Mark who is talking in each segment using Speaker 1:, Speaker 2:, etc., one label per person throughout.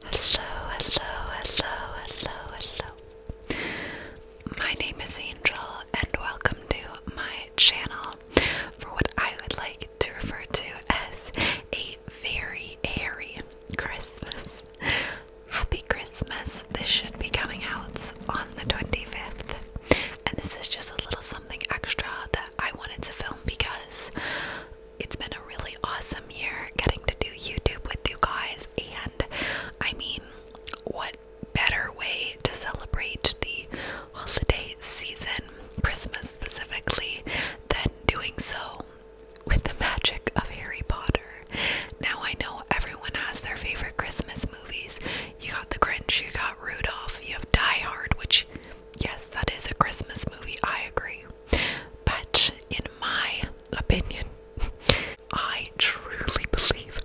Speaker 1: Hello, hello, hello, hello, hello. My name is Angel, and welcome to my channel for what I would like to refer to as a very hairy Christmas. Happy Christmas! This should be coming out on the 25th, and this is just a little something extra that I wanted to film because it's been a really awesome year getting to do YouTube with you guys, and I mean, what better way to celebrate the holiday season, Christmas specifically, than doing so with the magic of Harry Potter? Now, I know everyone has their favorite Christmas movies. You got The Grinch, you got Rudolph, you have Die Hard, which, yes, that is a Christmas movie, I agree. But in my opinion, I truly believe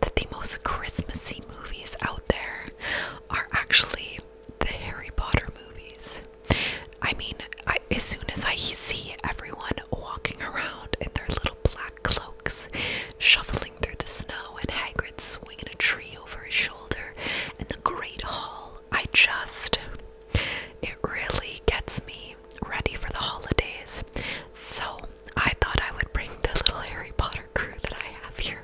Speaker 1: that the most Christmassy movies out there are actually the Harry Potter movies. I mean, as soon as I see everyone walking around in their little black cloaks, shuffling through the snow, and Hagrid swinging a tree over his shoulder, in the Great Hall, I just it really gets me ready for the holidays. So I thought I would bring the little Harry Potter crew that I have here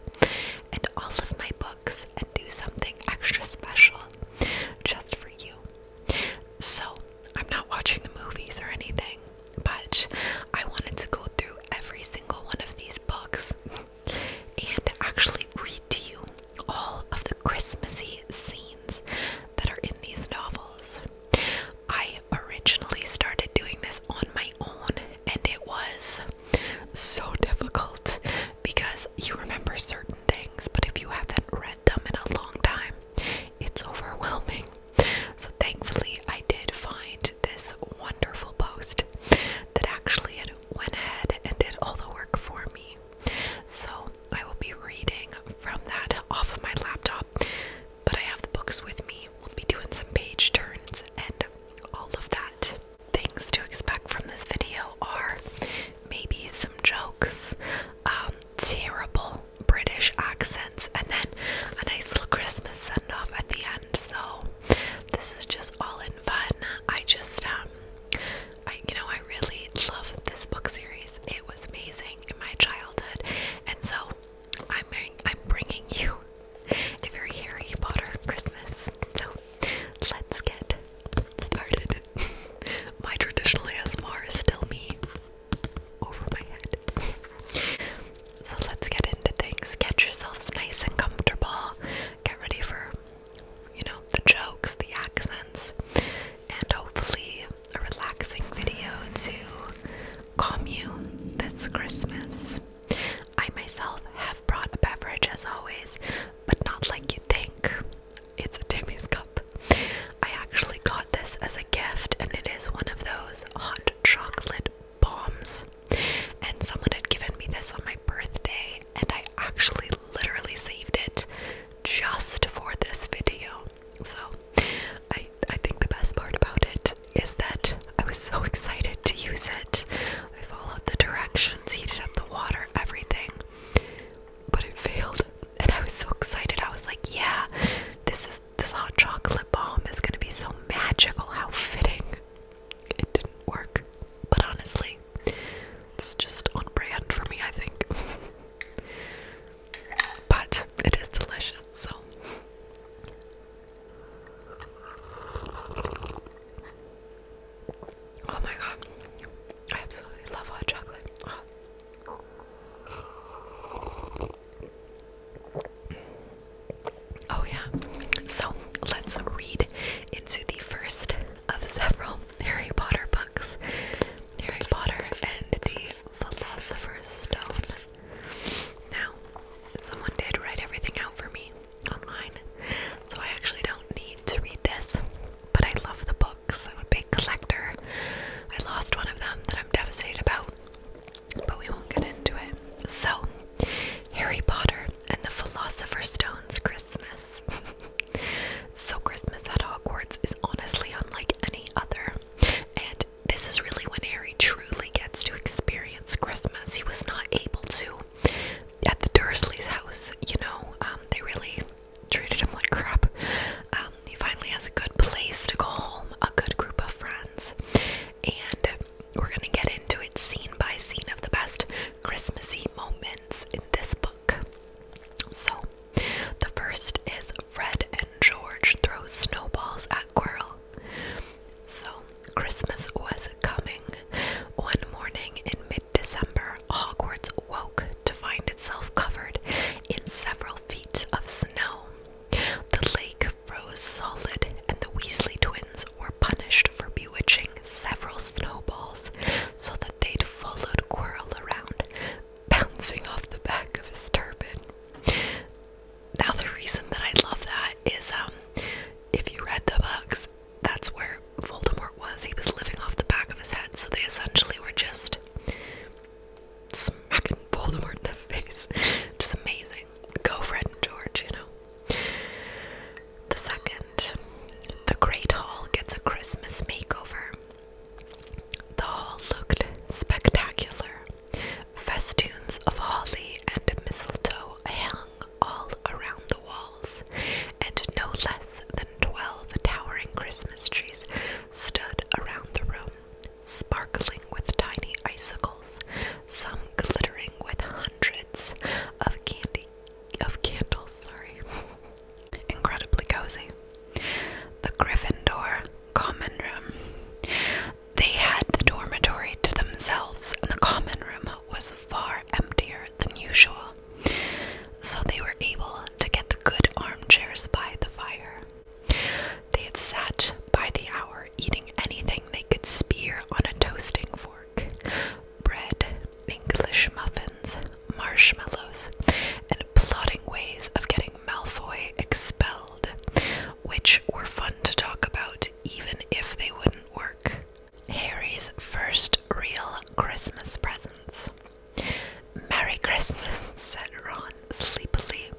Speaker 1: and all of my books and do something extra special just for you. So I'm not watching the movies or anything, but I wanted to go through every single one of these books and actually read to you all of the Christmassy scenes that are in these novels. I originally started doing this on my own, and it was so difficult because you remember certain things, but if you haven't read them in a long time, it's overwhelming. So, thankfully, I did find this wonderful post that actually went ahead and did all the work for me. So I will be reading from that off of my laptop, but I have the books with me. We'll be doing some page turns and all of that. Things to expect from this video are maybe some jokes, um, terrible British accents, and then a nice little Christmas send at the end. So, this is just all in fun. I just, um, I, you know, I really love this book series. It was amazing in my childhood, and so I'm I'm bringing you a very Harry Potter Christmas. So let's get started. my traditional ASMR is still me over my head. So let's get into things. Get yourselves nice and comfortable. Get ready for you know, the jokes, the accents, and hopefully a relaxing video to calm you this Christmas. I myself have brought a beverage as always, but not like you think. It's a Timmy's cup. I actually got this as a gift, and it is one of those hot chocolate bombs. And someone had given me this on my birthday, and I actually literally saved it just for this video. So I I think the best part about it is that I was so excited to use it. I followed the directions, heated up the water, everything. But it failed. And I was so excited. I was like, yeah, this is this hot chocolate bomb is gonna be so magical, how fitting. It didn't work. But honestly, it's just on brand for me, I think. but it is delicious, so. Oh my god. I absolutely love hot chocolate. Oh, yeah. So let's read into the first of several Harry Potter books Harry Potter and the Philosopher's Stone. Now, someone did write everything out for me online, so I actually don't need to read this, but I love the books. I'm a big collector. I lost one of them that I'm devastated about, but we won't get into it. So, Harry Potter and the Philosopher's Stone's Christmas. so, Christmas at Hogwarts is honestly unlike any other, and this is really when Harry truly gets to experience Christmas. He was not able to at the Dursleys' house, you know, um, they really treated him like crap. Um, he finally has a good place to go home, a good group of friends, and we're gonna get into it scene by scene of the best Christmassy moments in this book. So, the first is Fred and George throw snowballs at Quirrell. So, Christmas was coming. One morning in mid December, Hogwarts woke to find itself covered in several feet of snow. The lake froze solid, and the Weasley twins were punished for bewitching several snowballs so that they'd followed Quirrell around, bouncing off the back of his turban. Now, the reason that I love that is um, if you read the books, that's where Voldemort was. He was living off the back of his head, so they essentially were just smacking Voldemort in the face. Just amazing. Go, Fred and George, you know. The second the Great Hall gets a Christmas makeover. The hall looked spectacular. Festoons of holly and mistletoe hung all around the walls, and no less than twelve towering Christmas trees stood around the room, sparkling with tiny icicles, some glittering with hundreds of candy of candles, sorry. Incredibly cozy. The Gryffindor common room. They had the dormitory to themselves, and the common room was far emptier than usual, so they were able to get the good armchairs by the fire. They had sat by the hour, eating anything they could spear on a toasting fork, bread, English muffins, marshmallows, and plotting ways of getting Malfoy expelled, which were fun to talk about even if they wouldn't work. Harry's first real Christmas presents. Merry Christmas, said Ron sleepily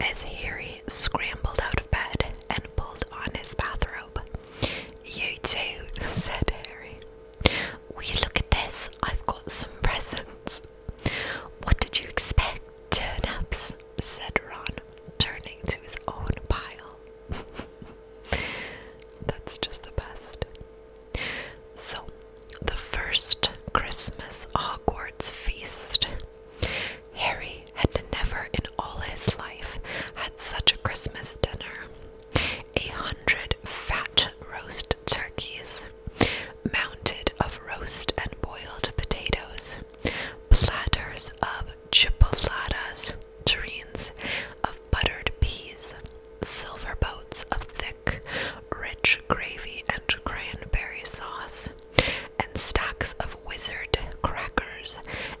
Speaker 1: as Harry scrambled out of bed and pulled on his bathrobe. You too, said Harry. Will you look at this? I've got some presents. What did you expect, turnips? said Ron, turning to his own pile. That's just the best. So, the first Christmas Hogwarts feast. Harry had never in all his life had such a Christmas dinner a hundred fat roast turkeys, mounted of roast and boiled potatoes, platters of chipolatas, tureens of buttered peas, silver boats of thick, rich gravy and cranberry sauce, and stacks of wizard crackers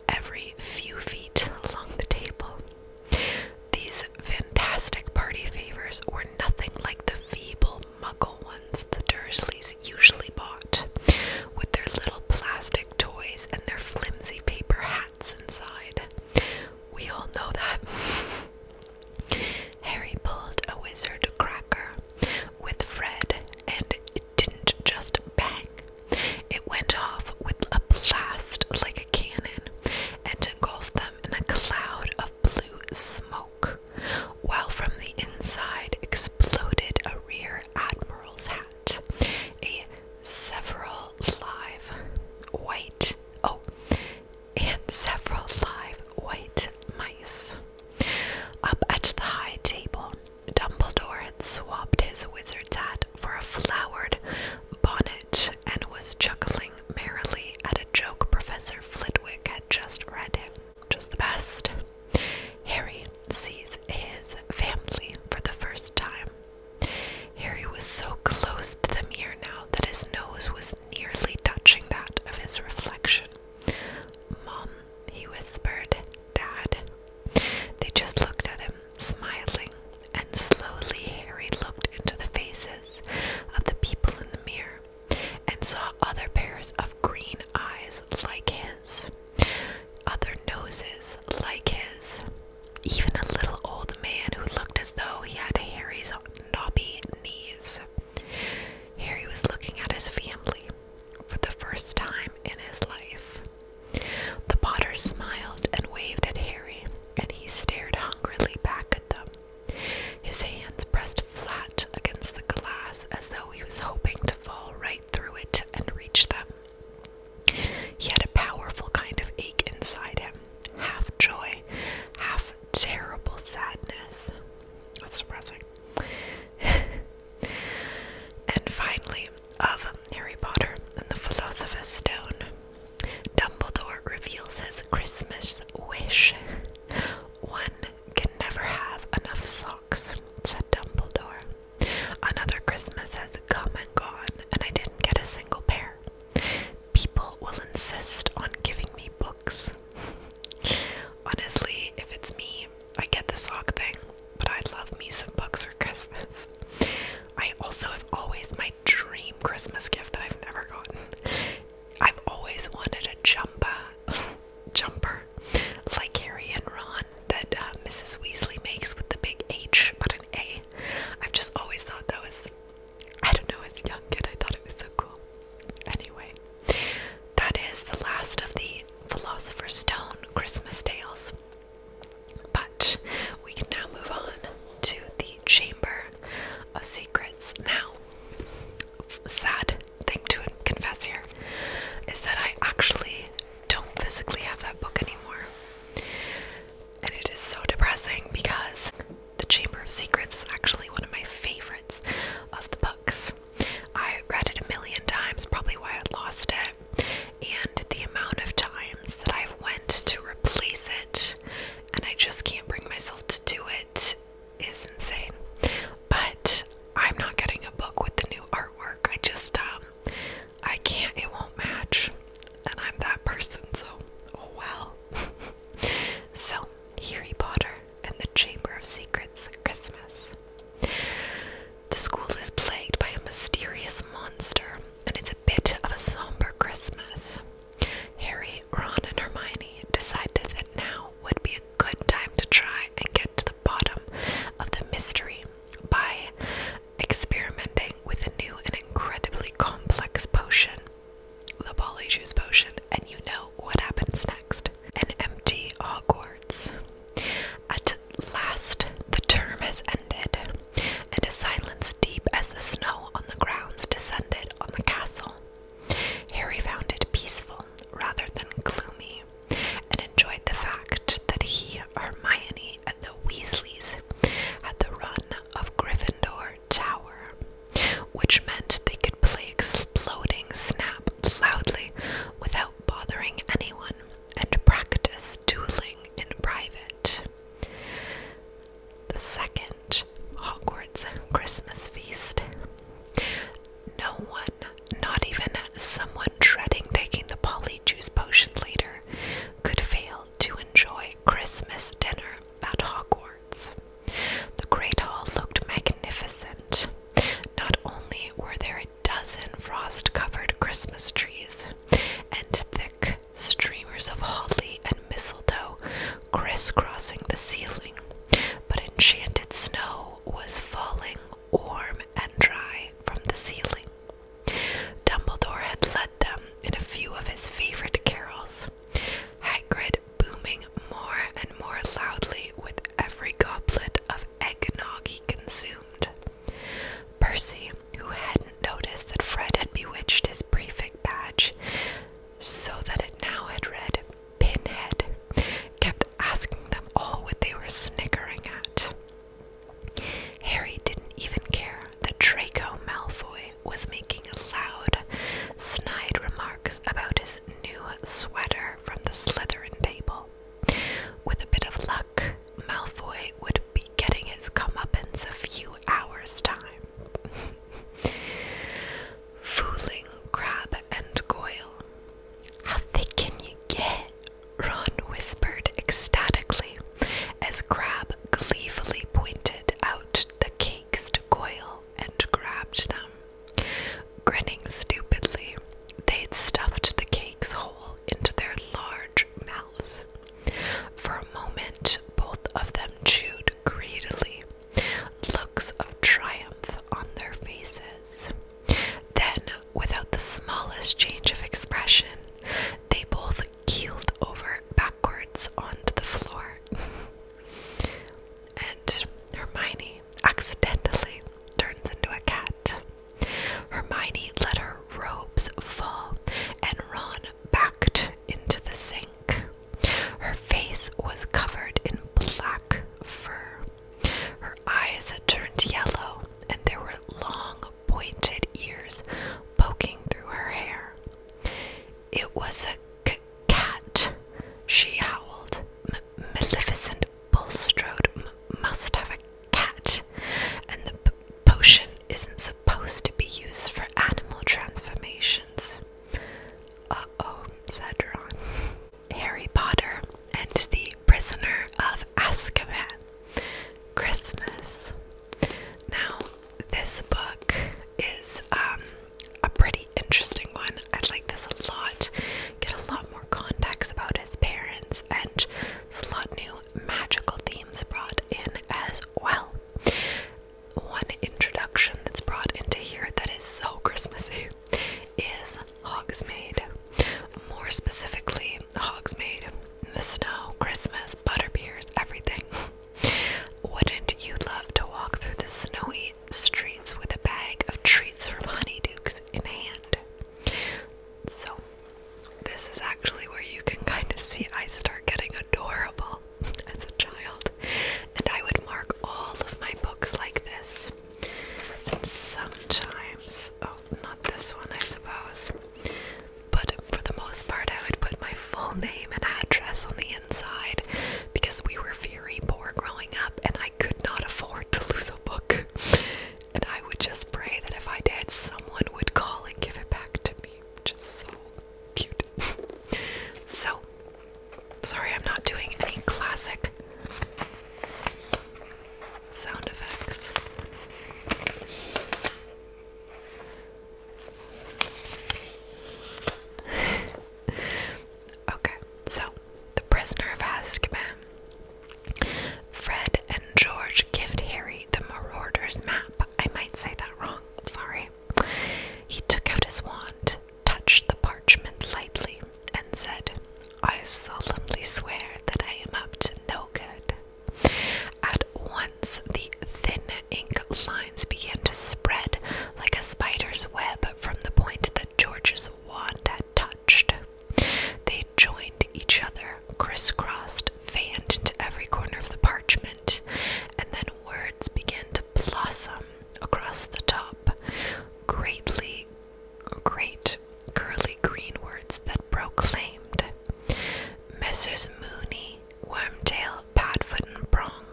Speaker 1: every few feet along the table. These fantastic party favors were nothing like the feeble muggle ones the Dursleys usually bought, with their little plastic toys and their flimsy paper hats inside. We all know that. Harry pulled a wizard cracker with Fred, and it didn't just bang. It went off with a blast like a cannon, and engulfed them in a cloud of blue smoke, while from the inside exploded a rear admiral's hat, a several live white oh and several live white mice. Up at the high table, Dumbledore had swapped his wizard's hat for a flowered bonnet and was chuckling merrily at a joke Professor Flitwick had just read him. Just the best. Harry sees his family for the first time. Harry was so close to the mirror now that his nose was nearly touching that of his reflection. Mom, he whispered, Dad. They just looked at him, smiling, and slowly Harry looked into the faces of the people in the mirror and saw other pairs of green eyes like his, other noses like his, even a little old man who looked as though he had Harry's knobby knees. Harry was looking at his family for the first time in his life. The potter smiled and waved at Harry and he stared hungrily back at them. His hands pressed flat against the glass as though he was hoping to fall right through it and reach them. He had a powerful kind of ache inside him, half joy, half terrible sadness. That's depressing. and finally, of Harry Potter and the Philosopher's Stone, Dumbledore reveals his Christmas wish. One can never have enough socks, said Dumbledore. Another Christmas has come and gone, and I didn't get a single pair. People will insist on giving me books. Honestly, if it's me, I get the sock thing, but I'd love me some books for Christmas. I also have always my dream Christmas gift that I've never gotten. I've always wanted a jumper, jumper, like Harry and Ron that uh, Mrs. Weasley makes with the big H but an A. I've just always thought that was, I don't know, as a young kid I thought it was so cool. Anyway, that is the last of the Philosopher's Stone Christmas tales. But we can now move on to the Chamber of Secrets. Now, sad thing to confess here is that I actually don't physically have that book anymore. And it is so depressing because The Chamber of Secrets is actually one of my favorites of the books. I read it a million times, probably why I lost it. And the amount of times that I've went to replace it and I just can't bring myself to do it is insane. But I'm not getting a book with the new artwork. I just um, I can't it won't match and I'm that person so oh well. so Harry Potter and the Chamber of Secrets Christmas. The school is plagued by a mysterious monster and it's a bit of a somber Christmas. Harry, Ron, and Hermione decided that now would be a good time to try and get to the bottom of the mystery by experimenting with a new and incredibly complex potion, the Polyjuice potion, and you know what happens next. An empty Hogwarts. At last, the term has ended, and a silence deep as the snow on the grounds descended on the castle. Harry found it peaceful rather than gloomy, and enjoyed the fact that he, Hermione, and the Weasleys had the run of Gryffindor Tower, which meant they could play exploding snap loudly without bothering anyone and practice dueling in private the second Hogwarts Christmas feast. No one, not even someone dreading taking the polyjuice potion later, could fail to enjoy Christmas dinner at Hogwarts. The Great Hall looked magnificent. Not only were there a dozen frost covered Christmas trees and thick streamers of holly and mistletoe crisscrossing the ceiling, but enchanted snow was falling warm and dry from the ceiling. Dumbledore had led them in a few of his favorite carols, Hagrid booming more and more loudly with every goblet of eggnog he consumed. Percy, who hadn't noticed that Fred had bewitched his prefect badge so that it now had read Pinhead, kept asking them all what they were snickering at. Harry didn't even care that Draco Malfoy was making loud, snide remarks about his new sweater from the Slytherin table. With a bit of luck, Malfoy would be be getting his comeuppance a few hours' time. Fooling Crab and Goyle. How thick can you get? Ron whispered ecstatically as Crab gleefully pointed out the cakes to Goyle and grabbed them. Grinning stupidly, they stuffed the cakes whole into their large large For a moment, both of them chewed greedily, looks of triumph on their faces. Then, without the smallest change of expression, they both keeled over backwards onto the floor. and Hermione accidentally turns into a cat. Hermione let her robes fall, and run backed into the sink. Her face was covered in black fur. Her eyes had turned yellow, and there were long, pointed ears poking through her hair. It was a cat, she howled. Maleficent Bulstrode must have a cat, and the potion isn't supposed supposed to be used for animal transformations. Uh oh, said Ron. Harry Potter and the Prisoner of Azkaban. Christmas. Now, this book is um, a pretty interesting one. I like this a lot. Get a lot more context about his parents, and there's a lot new magical themes brought in as well. One introduction that's brought into here that is so Christmassy is Hogsmeade. More specifically, Hogsmeade. The snow, Christmas, butterbeers, everything. Wouldn't you love to walk through the snowy streets with a bag of treats from Honeydukes in hand? So, this is actually where you can kind of see I start getting adorable as a child. And I would mark all of my books like this. And sometimes, oh, not this one, I suppose. But for the most part, I would put my full name and address on the inside because we were very poor growing up and I could not afford to lose a book. And I would just pray that if I did, someone would call and give it back to me. Just so cute. so, sorry I'm not doing any classic sound effects. okay, so the prisoner of Azkaban. Fred and George gift Harry the Marauder's map. I might say that wrong, sorry. He took out his wand, touched the parchment lightly, and said, I solemnly swear that I am up to no good. At once the thin ink lines began to spread like a spider's web from the point that George's wand had touched. They joined each other, crisscrossed, fanned into every corner of the parchment and then words began to blossom across the top. Greatly, great curly green words that proclaimed Messrs. Mooney, Wormtail, Padfoot, and Prong,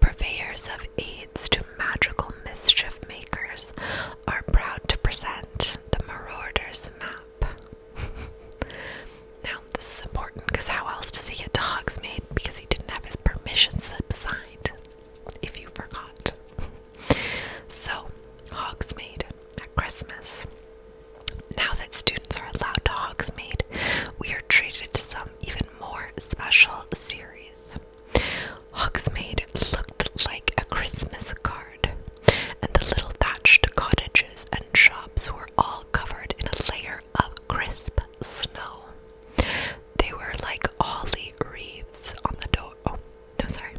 Speaker 1: purveyors of aids to magical mischief makers, are proud to present the Marauder's Map. now, this is important because how else does he get to Hogsmeade? Because he didn't have his permission slip signed, if you forgot. so, Hogsmeade at Christmas. Now that students are allowed to Hogsmeade, we are treated to some even more special series. Hogsmeade looked like a Christmas card, and the little thatched cottages and shops were all covered in a layer of crisp snow. They were like holly wreaths on the door. Oh, no, sorry.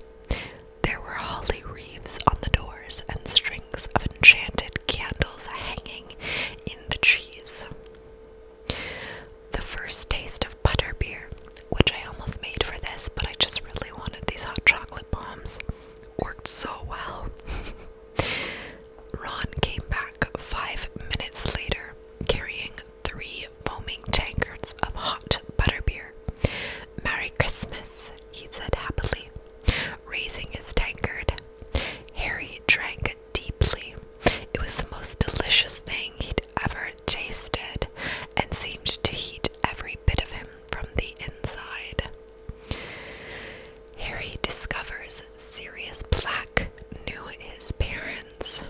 Speaker 1: There were holly wreaths on the doors and strings of enchanted candles hanging in the trees. The first taste of butter beer, which I almost made for this, but I just really wanted these hot chocolate bombs, worked so well. Ron came back five minutes later, carrying three foaming tankards of hot butter beer. Merry Christmas, he said happily, raising his tankard. Harry drank deeply. It was the most delicious thing he'd ever tasted and seemed to heat every bit of him from the inside. Harry discovers Sirius Black knew his parents.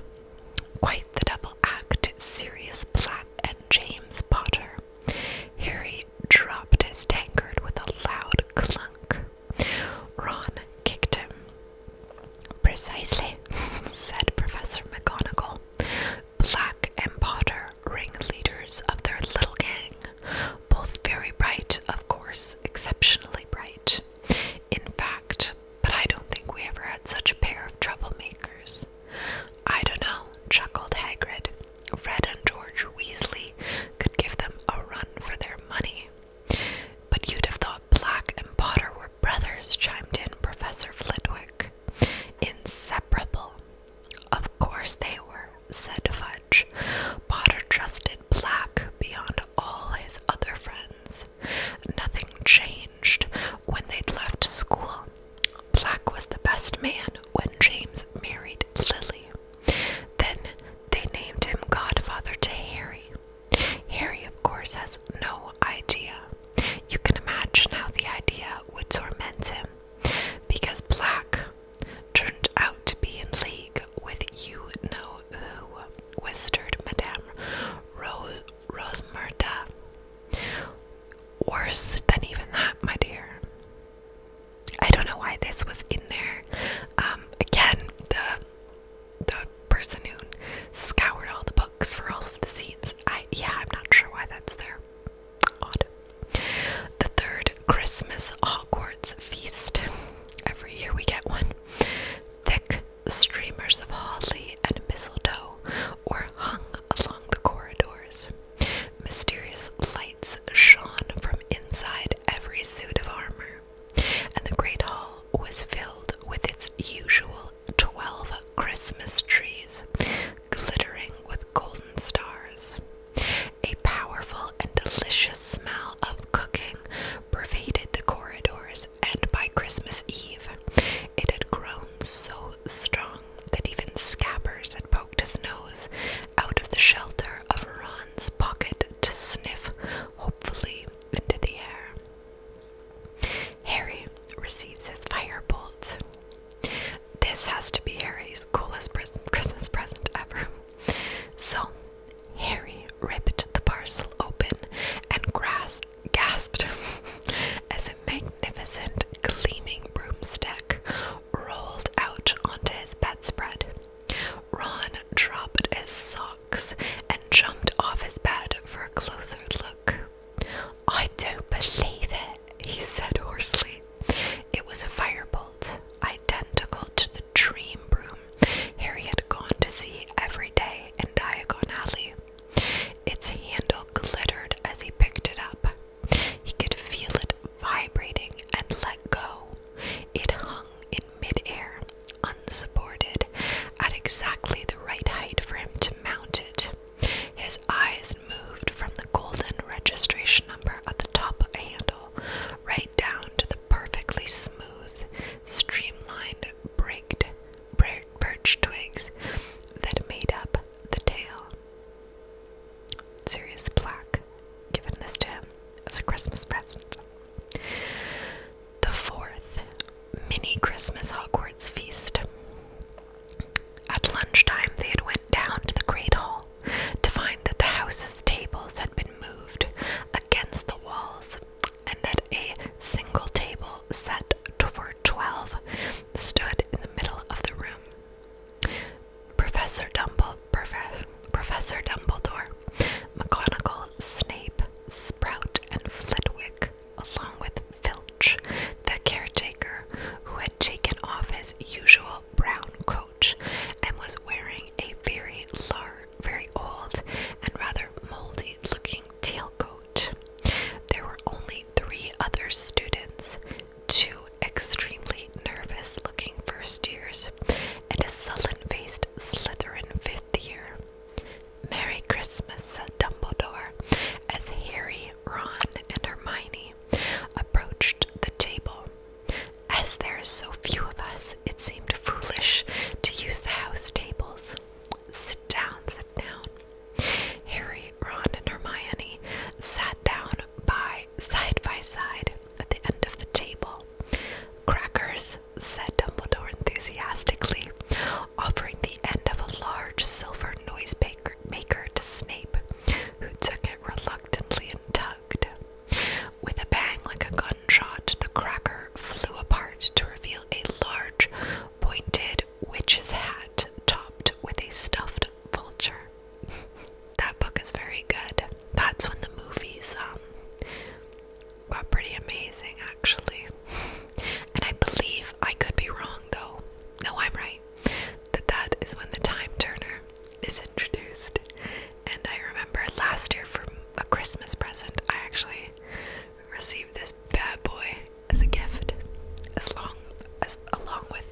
Speaker 1: Quite the double act, Sirius Black and James Potter. Harry dropped his tankard with a loud clunk. Ron kicked him. Precisely, said Professor McGonagall. Black and Potter, ringleaders of their little gang, both very bright, of course, exceptionally bright. In fact, but I don't think we ever had such a pair of troublemakers. I don't know, chuckled Hagrid. "Red and George Weasley could give them a run for their money. But you'd have thought Black and Potter were brothers, chimed in Professor Flitwick. Inseparable, of course they were, said Fudge. Potter trusted Black beyond all his other friends. Nothing changed when they'd left school. Black was the best man when James married Lily. Then they named him godfather to Harry. Harry, of course, has no idea. You can imagine how the idea would torment him because Black turned out to be in league with you know who, whispered Madame Rose Rosmerda. Worse than even that, my dear. I don't know why this was in there. Um, again, the the person who scoured all the books for all of the scenes. I yeah, I'm not sure why that's there. Odd. The third Christmas Hogwarts feast. Every year we get one. Thick streamers of holly and mistletoe were hung along the corridors. Mysterious lights shone from inside every suit of armor, and the great hall was filled with its usual twelve Christmas trees, glittering with golden stars. A powerful and delicious smell of cooking pervaded the corridors, and by Christmas Eve, it had grown so strong that even Scabbers had poked his nose out of the shelter of Ron's pocket to sniff, hopefully, into the air. Harry receives his firebolt. This has to be Harry's coolest Christmas present ever. So Harry ripped the parcel open and grasped gasped as a magnificent gleaming broomstick rolled out onto his bedspread. Ron dropped his socks and jumped off his bed for a closer look. I don't believe it, he said hoarsely. It was a firebolt, identical to the dream broom Harry had gone to see every day in Diagon Alley. Its handle glittered as he picked it up. He could feel it vibrating and let go. It hung in midair, unsupported, at exactly the right height for him to mount it. His eyes moved from the golden registration number at the top of the handle right down to the perfectly smooth, streamlined, brigged birch twigs that made up the tail. Serious Black, giving this to him as a Christmas present. The fourth mini Christmas Hogwarts feast. At lunchtime, they had went down to the Great Hall to find that the house's tables had been moved against the walls and that a single table set for 12 stood in the middle of the room. Professor, Dumble, Prof, Professor Dumbledore, McGonagall, Snape, Sprout, and Flitwick, along with Filch, the caretaker, who had taken off his usual brown coat and was wearing a very large, very old, and rather moldy looking tailcoat. There were only three other students two extremely nervous looking first years, and a sullen faced Slytherin fifth year. Merry Christmas, said Dumbledore, as Harry, Ron, and Hermione approached the table. As there are so few of us, it seemed foolish to use the house tables. Sit down, sit down. Harry, Ron, and Hermione sat down by side by side at the end of the table. Crackers, said Dumbledore enthusiastically, offering the end of a large silver noise maker to Snape, who took it reluctantly and with a bang like a gunshot, the cracker flew apart to reveal a large, pointed witch's hat topped with a stuffed vulture. that book is very good. That's when the movies um got pretty amazing actually. And I believe I could be wrong though. No, I'm right. That that is when the time turner is introduced and I remember last year for a Christmas present, I actually received this bad boy as a gift, as long as along with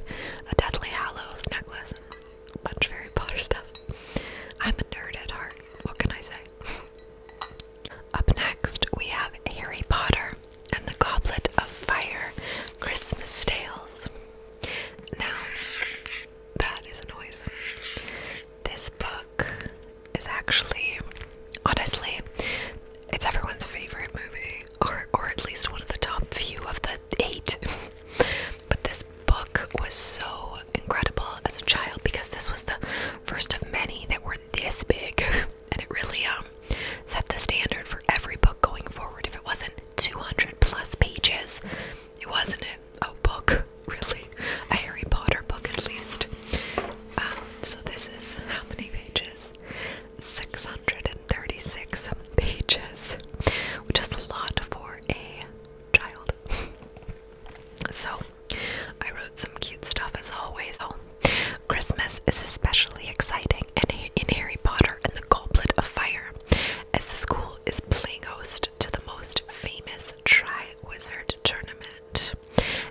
Speaker 1: a Deadly Hallows necklace and a bunch of Harry Potter stuff. I'm a nerd at heart. What can I say? Up next, we have Harry Potter and the Goblet of Fire Christmas Tales. Now, that is a noise. This book is actually, honestly, it's everyone's favorite movie, or or at least one of the top few of the eight. but this book was so incredible as a child because this was the first of many that were this big, and it really um set the standard for every book going forward. If it wasn't 200 plus pages, it wasn't a, book, really. A Harry Potter book, at least. Um, so, this is how many pages? 636 pages, which is a lot for a child. So, I wrote some cute stuff as always. Oh, Christmas is especially exciting in, in Harry Potter and the Goblet of Fire, as the school is playing host to the most famous Tri Wizard tournament,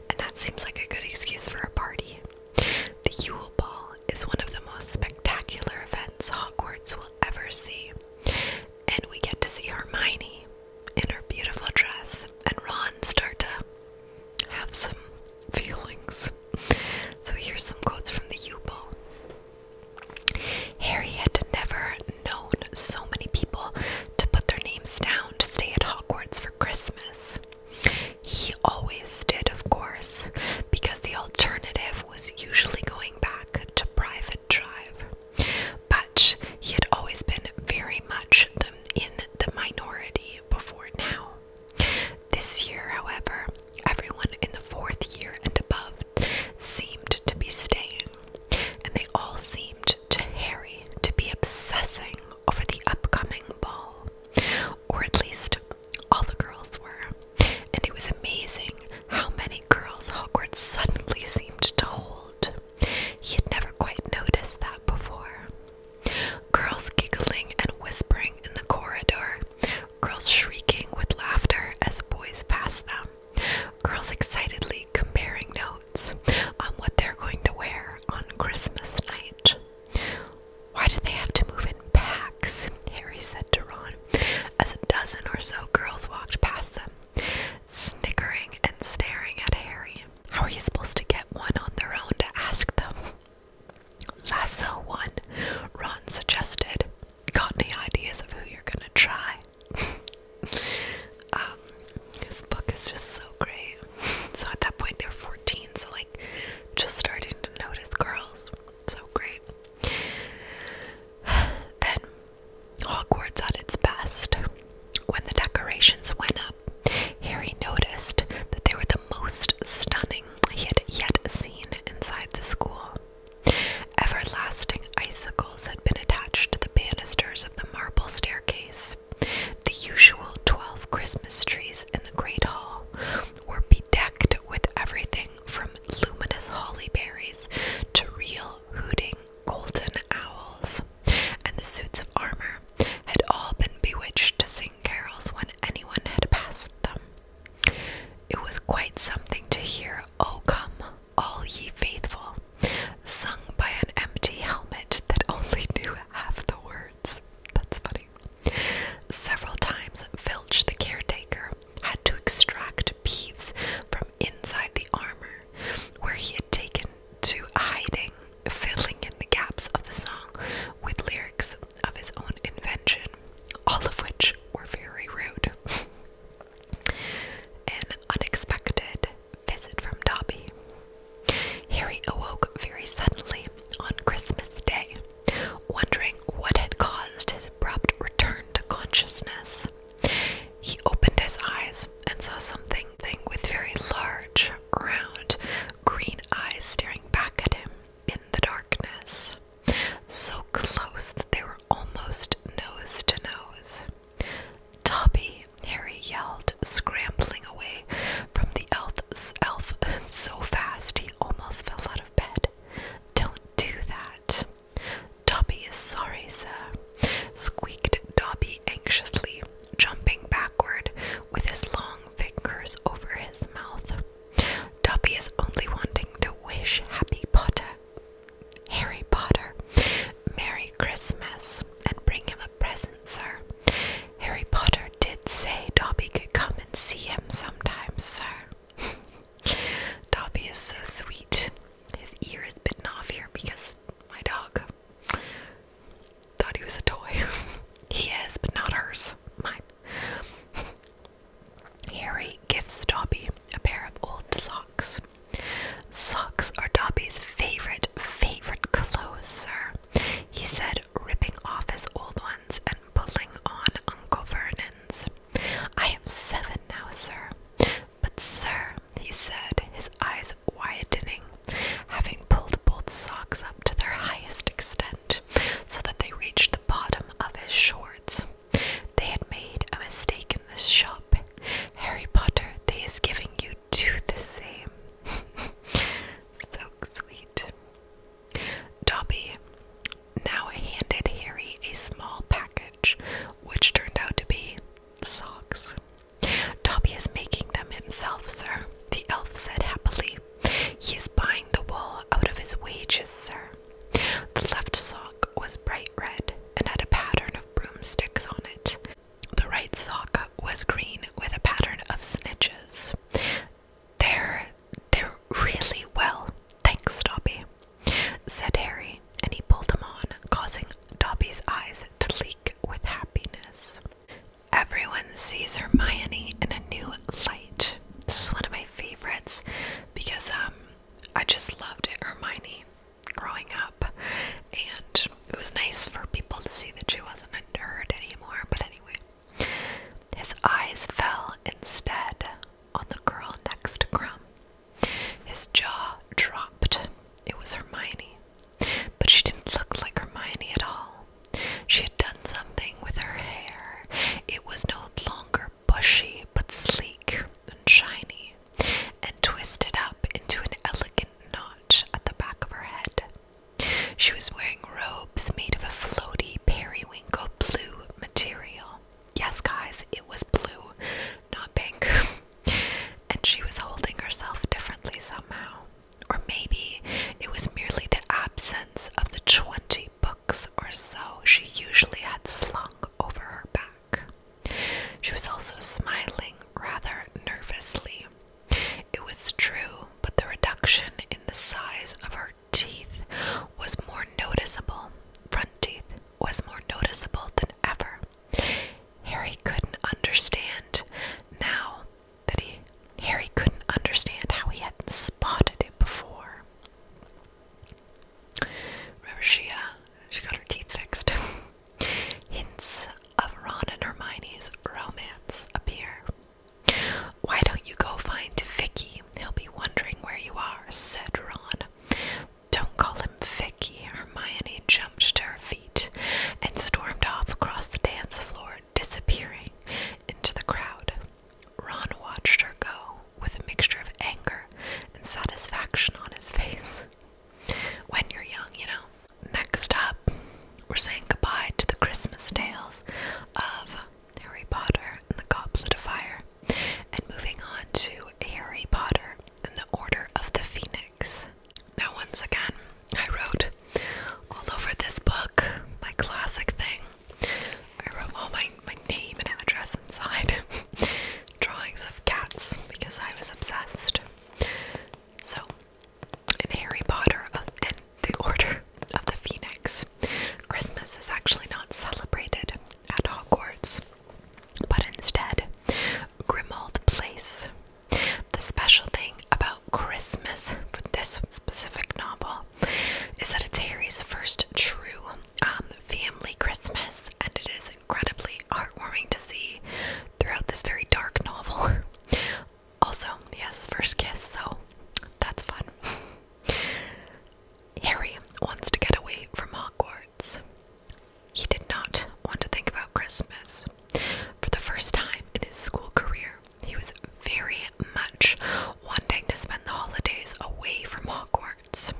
Speaker 1: and that seems like a good excuse for a party.
Speaker 2: The Yule Ball is one of the most spectacular events Hogwarts
Speaker 1: will ever see, and we get to see Hermione in her beautiful dress and Ron start to have some feelings. So here's some quotes from the Yule ball Harry had never known so many people to put their names down to stay at Hogwarts for Christmas. He always did, of course, because the alternative was usually going back to private drive. But he had always been very much in the minority before now. This year, however, Everyone in the fourth year and above seemed to be staying, and they all seemed to Harry to be obsessing over the upcoming ball, or at least all the girls were. And it was amazing how many girls Hogwarts suddenly seemed to hold. He had never quite noticed that before. Girls giggling and whispering in the corridor, girls shrieking with laughter as boys passed them, girls excitedly comparing notes on what they're going to wear on Christmas night. Why do they have to move in packs? Harry said to Ron as a dozen or so girls walked past them, snickering and staring at Harry. How are you supposed to get one on their own to ask them? Lasso one, Ron suggested got any ideas of who you're gonna try? Um, this book is just so great. So at that point they were 14, so like just starting to notice girls. So great. Then Hogwarts at its best. When the decorations went up, Harry noticed that they were the most stunning he had yet seen inside the school. Everlasting icicles had been attached to the banisters of the marble staircase. The usual twelve Christmas trees in the great hall were bedecked with everything from luminous holly berries to real hooting golden owls, and the suits of armor had all been bewitched to sing carols when anyone had passed them. It was quite something to hear, O come, all ye faithful, sung by an empty helmet that only knew half the words. That's funny. Several times, Filch the caretaker had to extract Peeves from inside the armor, where he had taken to hiding, fiddling in the gaps of the song with lyrics of his own invention, all of which were very rude. An unexpected visit from Dobby. Harry awoke very suddenly on Christmas Day, wondering what had caused his abrupt return to consciousness. He opened his eyes and saw something with very large, round, green eyes staring back at him in the darkness so close that they were almost nose to nose. Dobby, Harry yelled, scrambling away from the elf, elf so fast he almost fell out of bed. Don't do that. Dobby is sorry, sir, squeaked Dobby anxiously, jumping backward with his long fingers over his mouth. Dobby is only wanting to wish Happy Potter Harry Potter, Merry Christmas, and bring him a present, sir. Harry Potter did say Dobby could come and see him sometimes, sir. Dobby is so sweet. His ear is bitten off here because my dog thought he was a toy. he is, but not hers. Mine. Harry gives Dobby a pair of old socks. Socks are Dobby's favorite, favorite clothes, sir, he said, ripping off his old ones and pulling on Uncle Vernon's. I am seven now, sir. But, sir, he said, his eyes widening, having pulled both socks up to their highest extent so that they reached the bottom of his shorts. They had made a mistake in this shop. Harry Potter, they is giving you two the same. so sweet. Dobby now handed Harry a small package, which turned out to be socks. Dobby is making them himself, sir, the elf said happily. He is buying the wool out of his wages, sir. The left sock was bright red and had a pattern of broomsticks on it. The right sock was green with a pattern of snitches. They're they're really well, thanks, Dobby, said Harry, and he pulled them on, causing Dobby's eyes to leak with happiness. Everyone sees Hermione in a new light. This is one of my favorites because um I just loved Hermione, growing up, and it was nice for people to see that she wasn't a nerd anymore. But anyway, his eyes fell instead on the girl next to him. His jaw dropped. It was Hermione, but she didn't look like Hermione at all. She had done something with her hair. It was no longer bushy but sleek and shiny, and twisted up into an elegant notch at the back of her head. She was wearing robes made of a floaty periwinkle blue material. Yes, guys, it was blue, not pink. and she was holding herself differently somehow. Or maybe it was merely the absence of the 20 book or so she usually had slung over her back. She was also smiling rather nervously. It was true, but the reduction in the size of her teeth was more noticeable. Front teeth was more noticeable than ever. Harry couldn't understand now that he Harry couldn't understand how he hadn't spotted it before. Remember she, uh, she got her teeth fixed. Hints of Ron and Hermione's romance appear. Why don't you go find Vicky? He'll be wondering where you are, said Ron. Don't call him Vicky. Hermione jumped to her feet and stormed off across the dance floor, disappearing into the crowd. Ron watched her go, with a mixture of anger and satisfaction on his face. When you're young, you know. Next up, we're saying goodbye to the Christmas tales of Harry Potter and the Goblet of Fire, and moving on to Harry Potter and the Order of the Phoenix. Now, once again, I wrote all over this book my classic thing I wrote all my, my name and address inside drawings of cats because I was obsessed. So, in Harry Potter and the Order of the Phoenix, Christmas is actually not celebrated at Hogwarts, but instead, Grimald Place. The special thing about Christmas for this specific novel is that it's Harry's first true um, family Christmas, and it is incredibly heartwarming to see throughout this very dark novel. Also, he has his first kiss, so that's fun. Harry wants to get away from Hogwarts. He did not want to think about Christmas. For the first time in his school career, he was very much wanting to spend the holidays away from Hogwarts.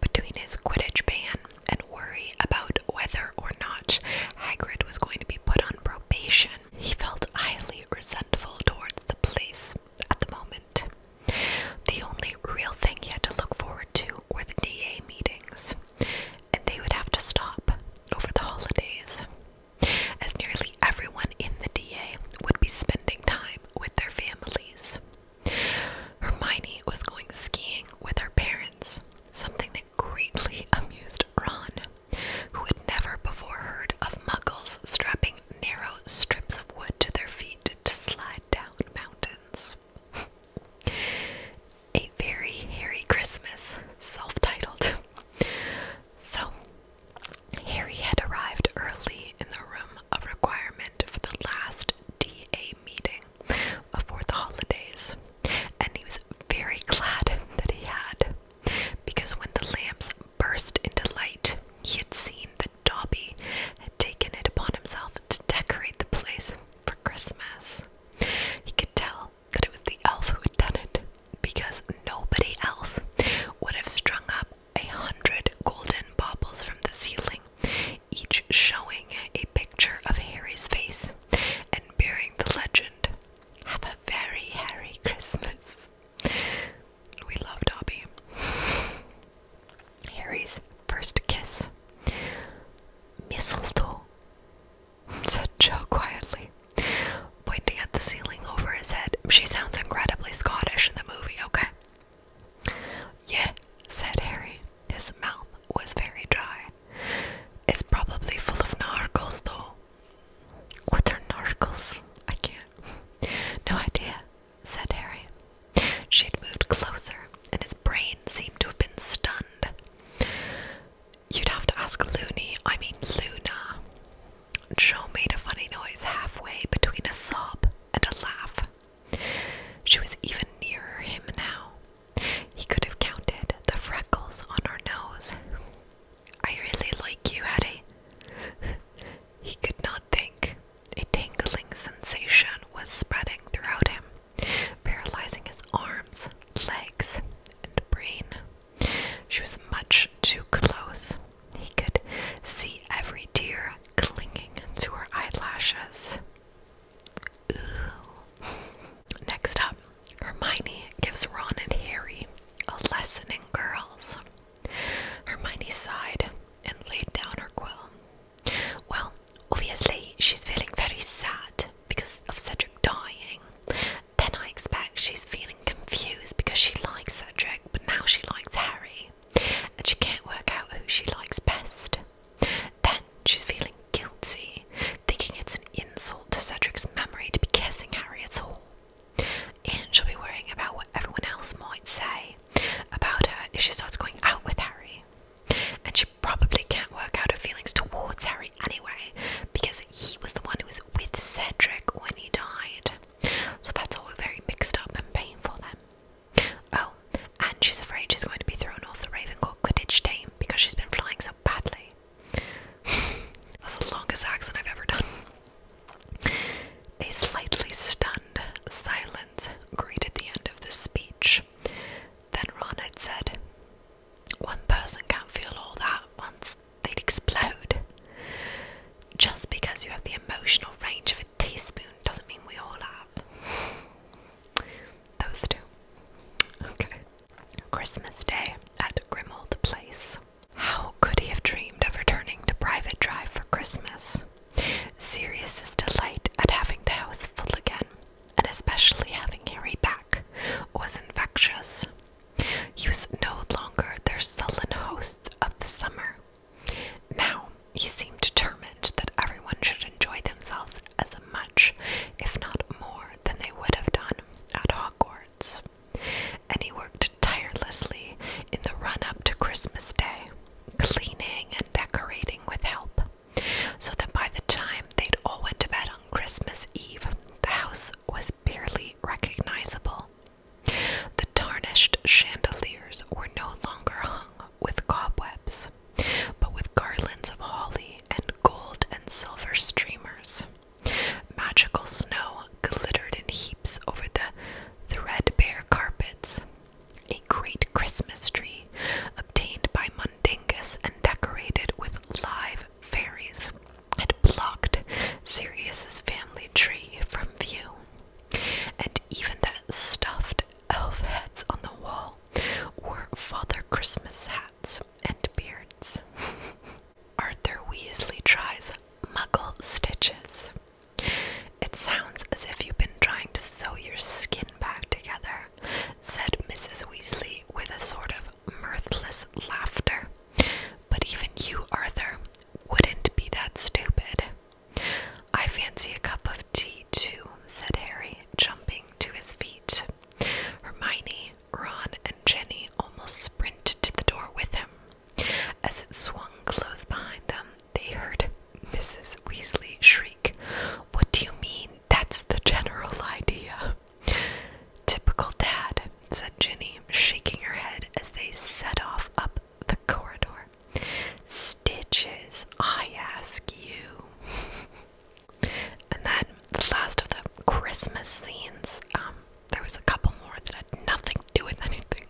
Speaker 1: Between his Quidditch ban and worry about whether or not Hagrid was going to be put on probation, he felt highly resentful towards the police at the moment. The only real thing he had to look forward to were the DA meetings, and they would have to stop over the holidays, as nearly everyone in the DA would be spending time with their families. Hermione was going skiing with her parents, something that greatly amused Ron, who had never before heard of muggles strapping narrow strips of wood to their feet to slide down mountains. A very hairy Christmas, self titled. So, Harry had arrived early in the room of requirement for the last DA meeting before the holidays, and he was very glad that he had, because when the lamps burst into light, he had seen that Dobby had taken it upon himself to decorate the place for Christmas. He could tell that it was the elf who had done it, because nobody else would have strung up a hundred golden baubles from the ceiling, each showing a picture of Harry's face and bearing the legend, Have a very Harry Christmas. We love Dobby. Harry's first kiss. Mistletoe, said Joe quietly, pointing at the ceiling over his head. She sounds incredibly Scottish in the movie, okay? Yeah, said Harry. His mouth was very dry. It's probably full of narcos, though. What are narcos? I can't. No idea, said Harry. She'd moved closer, and his brain seemed to have been stunned. You'd have to ask Loony. I mean Luna. Joe made a funny noise halfway between a sob and a laugh. She was even nearer him now. He could have counted the freckles on her nose. I really like you, Eddie. he could not think. A tingling sensation was spreading throughout him, paralyzing his arms, legs, and brain. She was much too close. He could see every tear clinging to her eyelashes. Ooh. Next up, Hermione gives Ron and Harry a lesson in girls. Hermione sighed and laid down her quill. Well, obviously, she's feeling very sad because of Cedric dying. Then I expect she's feeling confused because she likes Cedric, but now she likes Harry and she can't work out who she likes best. Then she's feeling guilty, thinking it's an insult to Cedric's memory to be kissing Harry at all. And she'll be worrying about what everyone else might say about her if she starts going out with Harry. And she probably can't work out her feelings towards Harry anyway, because he was the one who was with Cedric when he died. So that's all very mixed up and painful then. Oh, and she's afraid she's going to be thrown off the Ravencourt Quidditch team because she's been flying so badly. That's the longest accent I've ever done. A slightly stunned silence greeted the end of the speech. Then Ron had said, One person can't feel all that once, they'd explode. Just because you have the emotional range of a teaspoon doesn't mean we all have. Those two. Okay. Christmas Day at Grimold Place. How could he have dreamed of returning to Private Drive for Christmas? Sirius's delight at having the house full again, and especially having Harry back, was infectious. He was no longer their sullen host of the summer, now, he seemed determined that everyone should enjoy themselves as much, if not more, than they would have done at Hogwarts. And he worked tirelessly in the run up to Christmas Day, cleaning and decorating with help, so that by the time they'd all went to bed on Christmas Eve, the house was barely recognizable. The tarnished chandeliers were no longer hung with cobwebs, but with garlands of holly and gold and silver streamers. Magical snow glittered in heaps over the threadbare carpets. A great Christmas tree obtained by Mundingus and decorated with live fairies had blocked Sirius's family tree from view. And even that stuffed elf heads on the wall were Father Christmas hats and beards. Arthur Weasley tries muggle stitches. It sounds as if you've been trying to sew your skin back together, said Mrs. Weasley with a sort of mirthless laughter. But even you, Arthur, wouldn't be that stupid. I fancy a cup of tea too, said Harry, jumping to his feet. Hermione, Ron, and Jenny almost sprinted to the door with him. As it swung close behind them, they heard Mrs. Weasley shriek, What do you mean? That's the general idea. Typical dad, said Ginny, shaking her head as they set off up the corridor. Stitches, I ask you. and then the last of the Christmas scenes, um, there was a couple more that had nothing to do with anything.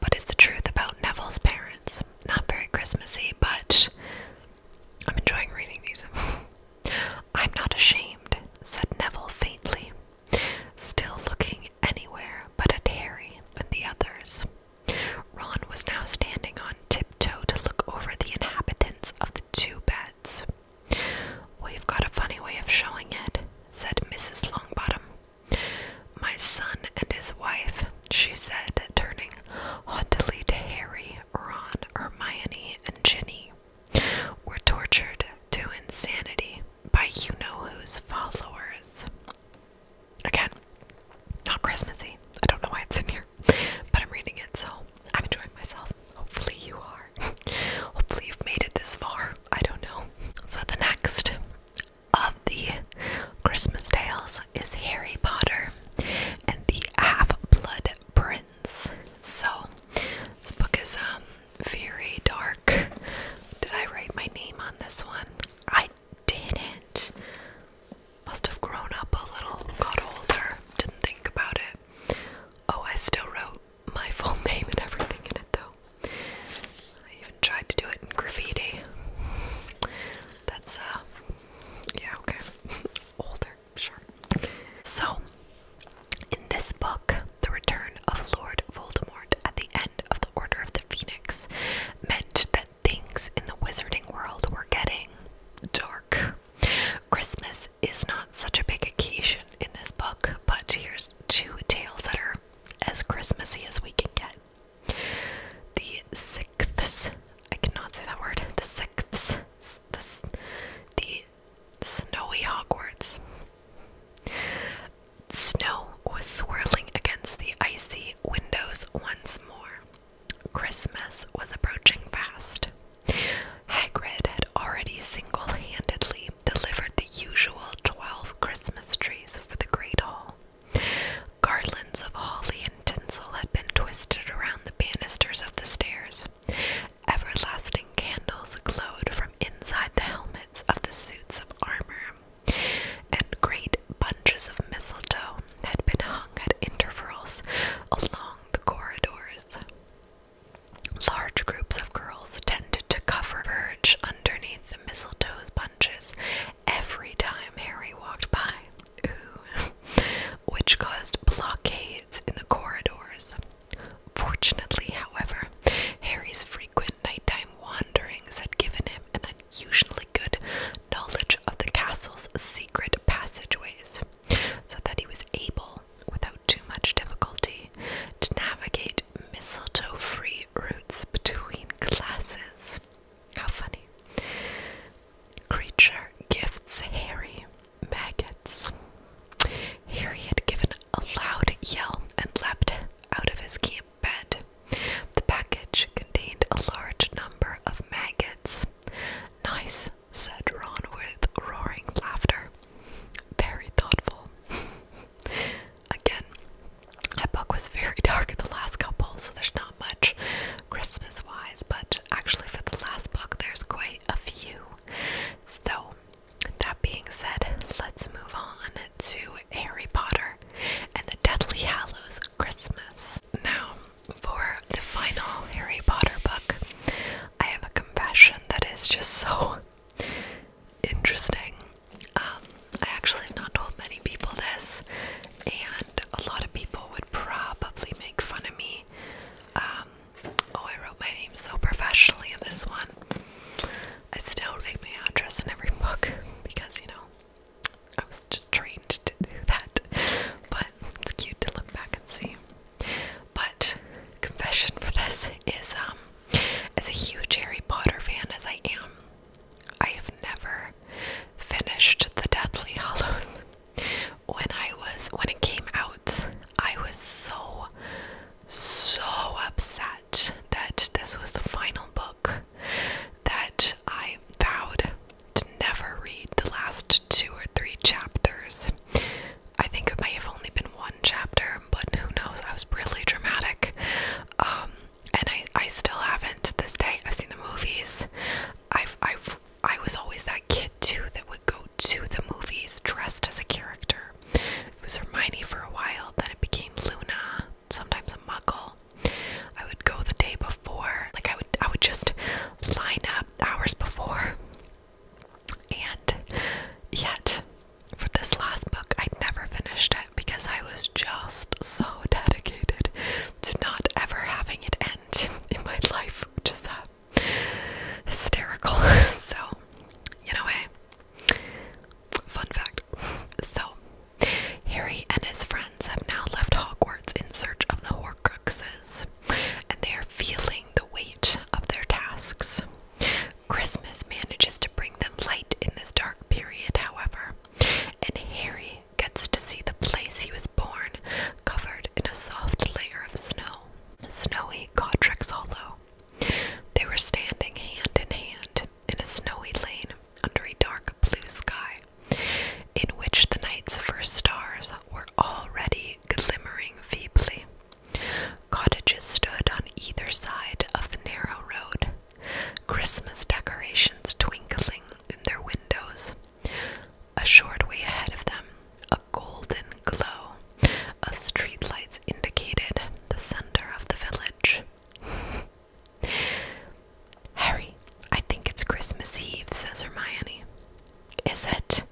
Speaker 1: But it's the truth about Neville's parents. Not very Christmassy, but I'm enjoying reading these. I'm not ashamed, said Neville faintly, still looking anywhere but at Harry and the others. Ron was now standing on tiptoe to look over the inhabitants of the two beds. We've got a funny way of showing it, said Mrs. Longbottom. My son and his wife, she said, turning haughtily to Harry, Ron, Hermione, and Ginny, were tortured to insanity by you know whose followers. Again, not Christmassy. I don't know why it's in here, but I'm reading it, so I'm enjoying myself. Hopefully, you are. Hopefully, you've made it this far. I don't know. So, the next of the Christmas tales is Harry Potter and the Half Blood Prince. So, this book is um very dark. Did I write my name on this one? I didn't. Must have grown up a little, got older, didn't think about it. Oh, I still wrote my full name and everything in it though. I even tried to do it in graffiti. That's, uh, yeah, okay. older, sure. So, in this book, The Return of Lord Voldemort, at the end of the Order of the Phoenix meant that things in the wizarding world were getting dark. Christmas is not such a big occasion in this book, but here's two tales that are as Christmassy as we can get. The sixth, I cannot say that word, the sixth, the, the snowy Hogwarts. Snow was swirling against the icy windows once more. Christmas was approaching fast. Hagrid had already single handedly delivered the usual twelve Christmas trees for the Great Hall. Garlands of holly and tinsel had been twisted around the banisters of the stairs. Everlasting candles glowed from inside the helmets of the suits of armor and great bunches of mistletoe had been hung at intervals along the corridors. Large groups of girls tended to cover verge underneath the mistletoe's bunches every time Harry walked by, which caused blockades in the corridors. Fortunately, however, Harry's frequent nighttime time wanderings had given him an unusually good knowledge of the castle's secret passageways, so that he was able, without too much difficulty, to navigate mistletoe free routes between classes. How funny! Creature gifts hairy maggots. Here he had given a loud yell and leapt out of his camp bed. The package contained a large number of maggots. Nice, said Ron with roaring laughter. Very thoughtful. Again, that book was very dark in the last couple, so there's not much Christmas wise, but actually, for the last book, there's quite a few. So, that being said, let's move on to Harry Potter and the Deathly Hallows Christmas. Now, for the final Harry Potter book, I have a confession that is just so interesting. Um, I actually have not told many people this, and a lot of people would probably make fun of me. Um, oh, I wrote my name so professionally in this one. I still write my address in every book because, you know, I was just trained to do that. But it's cute to look back and see. But confession for this is um as a huge Harry Potter fan as I am, I have never finished the Deathly Hollows. When I was when it came out, I was so so upset that this was the final book that I vowed to never read the last two or three chapters. I think it may have only been one chapter, but who knows? I was really dramatic. Um, and I, I still haven't to this day. I've seen the movies. I've I've I was always that kid too that would go to the movies dressed as a character. It was Hermione for a while, then it became Luna, sometimes a muggle. I would go the day before. Like I would I would just line up hours before. And yet for this last book I never finished it because I was just so dedicated to not ever having it end in my life, which is that uh, hysterical. so you know, a fun fact. So Harry and his friends have now left Hogwarts in search of the Horcruxes, and they are feeling the weight of their tasks. Christmas manages to bring them light in this dark period, however, and Harry gets to see the place he was born covered in a soft layer of snow, snowy Godric's Hollow. They were standing hand in hand in a snowy lane under a dark blue sky, in which the night's first stars were already glimmering feebly. Cottages stood on either side of the narrow road, Christmas decorations twinkling in their windows. A short way ahead of them, a golden glow of street lights, indicated the center of the village. Harry, I think it's Christmas Eve, says Hermione. Is it?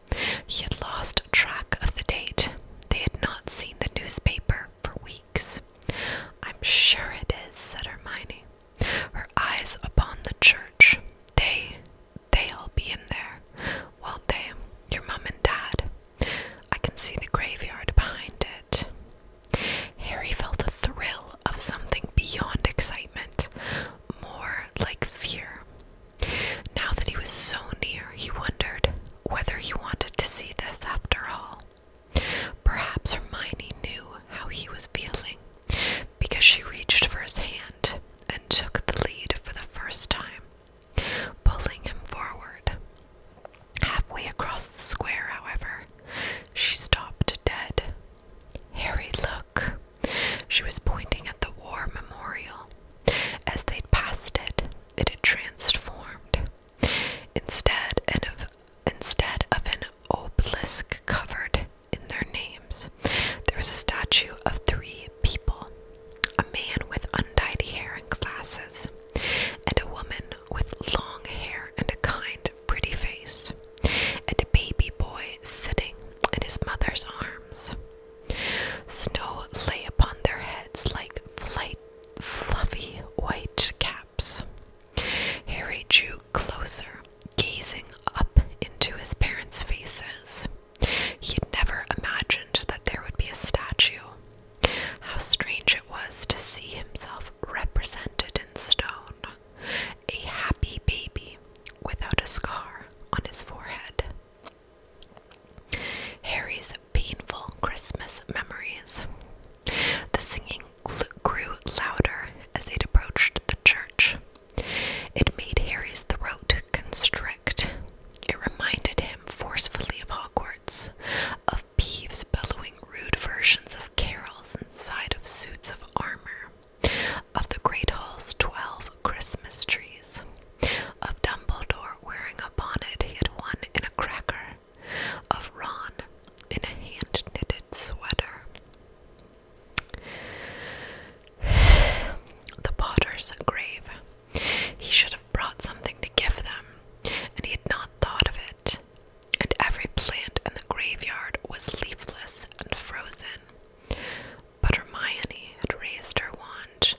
Speaker 1: He had lost track of the date. They had not seen the newspaper for weeks. I'm sure it is, said Hermione, her eyes upon the church. They, they'll be in there, won't they? Your mum and dad. I can see the graveyard behind it. Harry felt a thrill of something beyond excitement, more like fear. Now that he was so near, he wondered whether he wanted to see this after all. Perhaps Hermione knew how he was feeling because she reached for his hand and took the lead for the first time, pulling him forward. Halfway across the square, however, she stopped dead. Harry, look! She was pointing at the war memorial. As they passed it, it had transformed. Instead of, instead of an obelisk covered in their names, there was a statue of three people a man with undyed hair and glasses, and a woman with long hair and a kind, pretty face, and a baby boy sitting in his mother's arms. Snow lay upon their heads like flight, fluffy white caps. Harry drew closer, gazing up into his parents' faces. He'd never imagined that there would be a statue, how strange it was to see himself represented in stone, a happy baby without a scar on his forehead. Harry's painful Christmas memories. The singing grew louder as they approached the church. It made Harry's throat constrict. It reminded him forcefully of Hogwarts, of bellowing rude versions of carols inside of suits of armor, of the great hall's twelve Christmas trees, of Dumbledore wearing a bonnet he had won in a cracker, of Ron in a hand knitted sweater. The Potter's grave. He should have brought something to give them, and he had not thought of it and every plant in the graveyard was leafless and frozen. But Hermione had raised her wand,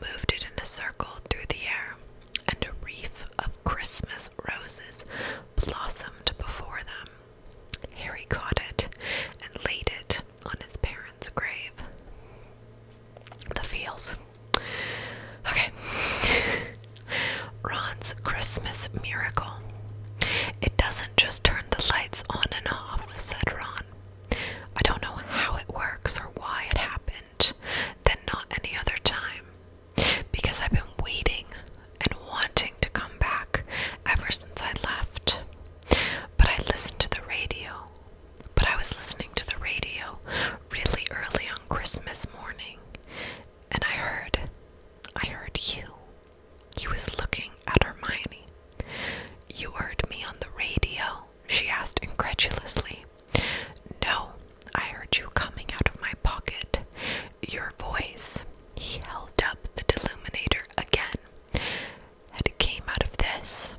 Speaker 1: moved it in a circle through the air, and a wreath of Christmas roses blossomed before them. Harry caught it and laid it on his parents' grave. The fields Okay. Ron's Christmas miracle. It doesn't just turn the lights on and off, said Ron. I don't know how it works or why it happened, then not any other time. Because I've been waiting and wanting to come back ever since I left. But I listened to the radio. But I was listening to the radio really early on Christmas morning and I heard. I heard you. He was looking at Hermione. You heard me on the radio? she asked incredulously. No, I heard you coming out of my pocket. Your voice, he held up the deluminator again, It came out of this.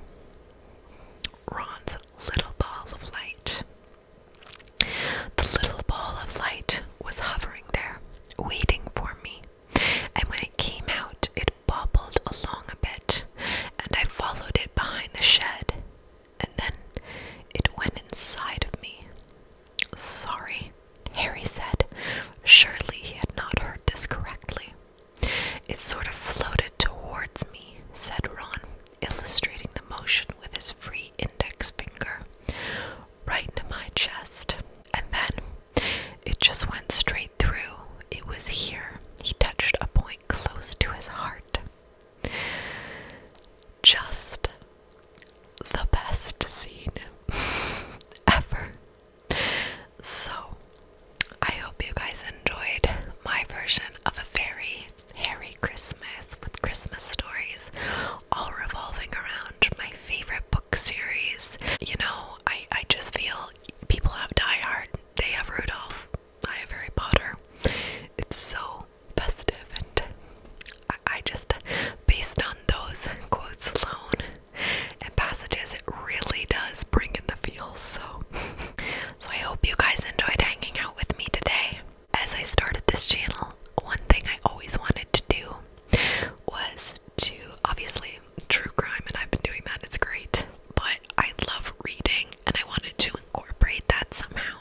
Speaker 1: Ron's little ball of light. The little ball of light was hovering there, waiting for me, and when it came out, it bobbled along a bit, and I followed it behind the shed, and then it went inside of me. Sorry, Harry said. Surely he had not heard this correctly. It sort of floated towards me, said Ron illustrating the motion with his free index finger, right into my chest. And then it just went straight through. It was here. He touched a point close to his heart. Just the best scene ever. So, I hope you guys enjoyed my version of a fairy. Harry Christmas with Christmas stories, all revolving around my favorite book series. You know, I, I just feel people have Die Hard, they have Rudolph, I have Harry Potter. It's so festive, and I, I just, based on those quotes alone and passages, it really does bring in the feels. So, so I hope you guys enjoyed hanging out with me today as I started this channel, one thing I always wanted to do was to obviously true crime, and I've been doing that, it's great, but I love reading and I wanted to incorporate that somehow.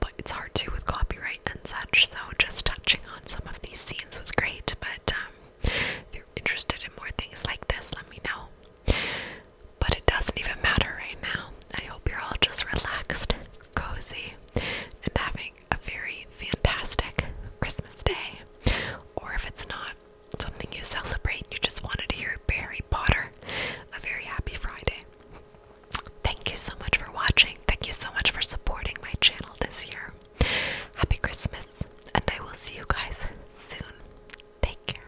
Speaker 1: But it's hard to with copyright and such, so just touching on some of these scenes was great. But um, if you're interested in more things like this, let me know. But it doesn't even matter right now. I hope you're all just relaxed, cozy, and having a very fantastic Christmas day. Or if it's not something you celebrate, you just wanted to hear Harry Potter, a very happy Friday. Thank you so much for watching. Thank you so much for supporting my channel this year. Happy Christmas, and I will see you guys soon. Take care.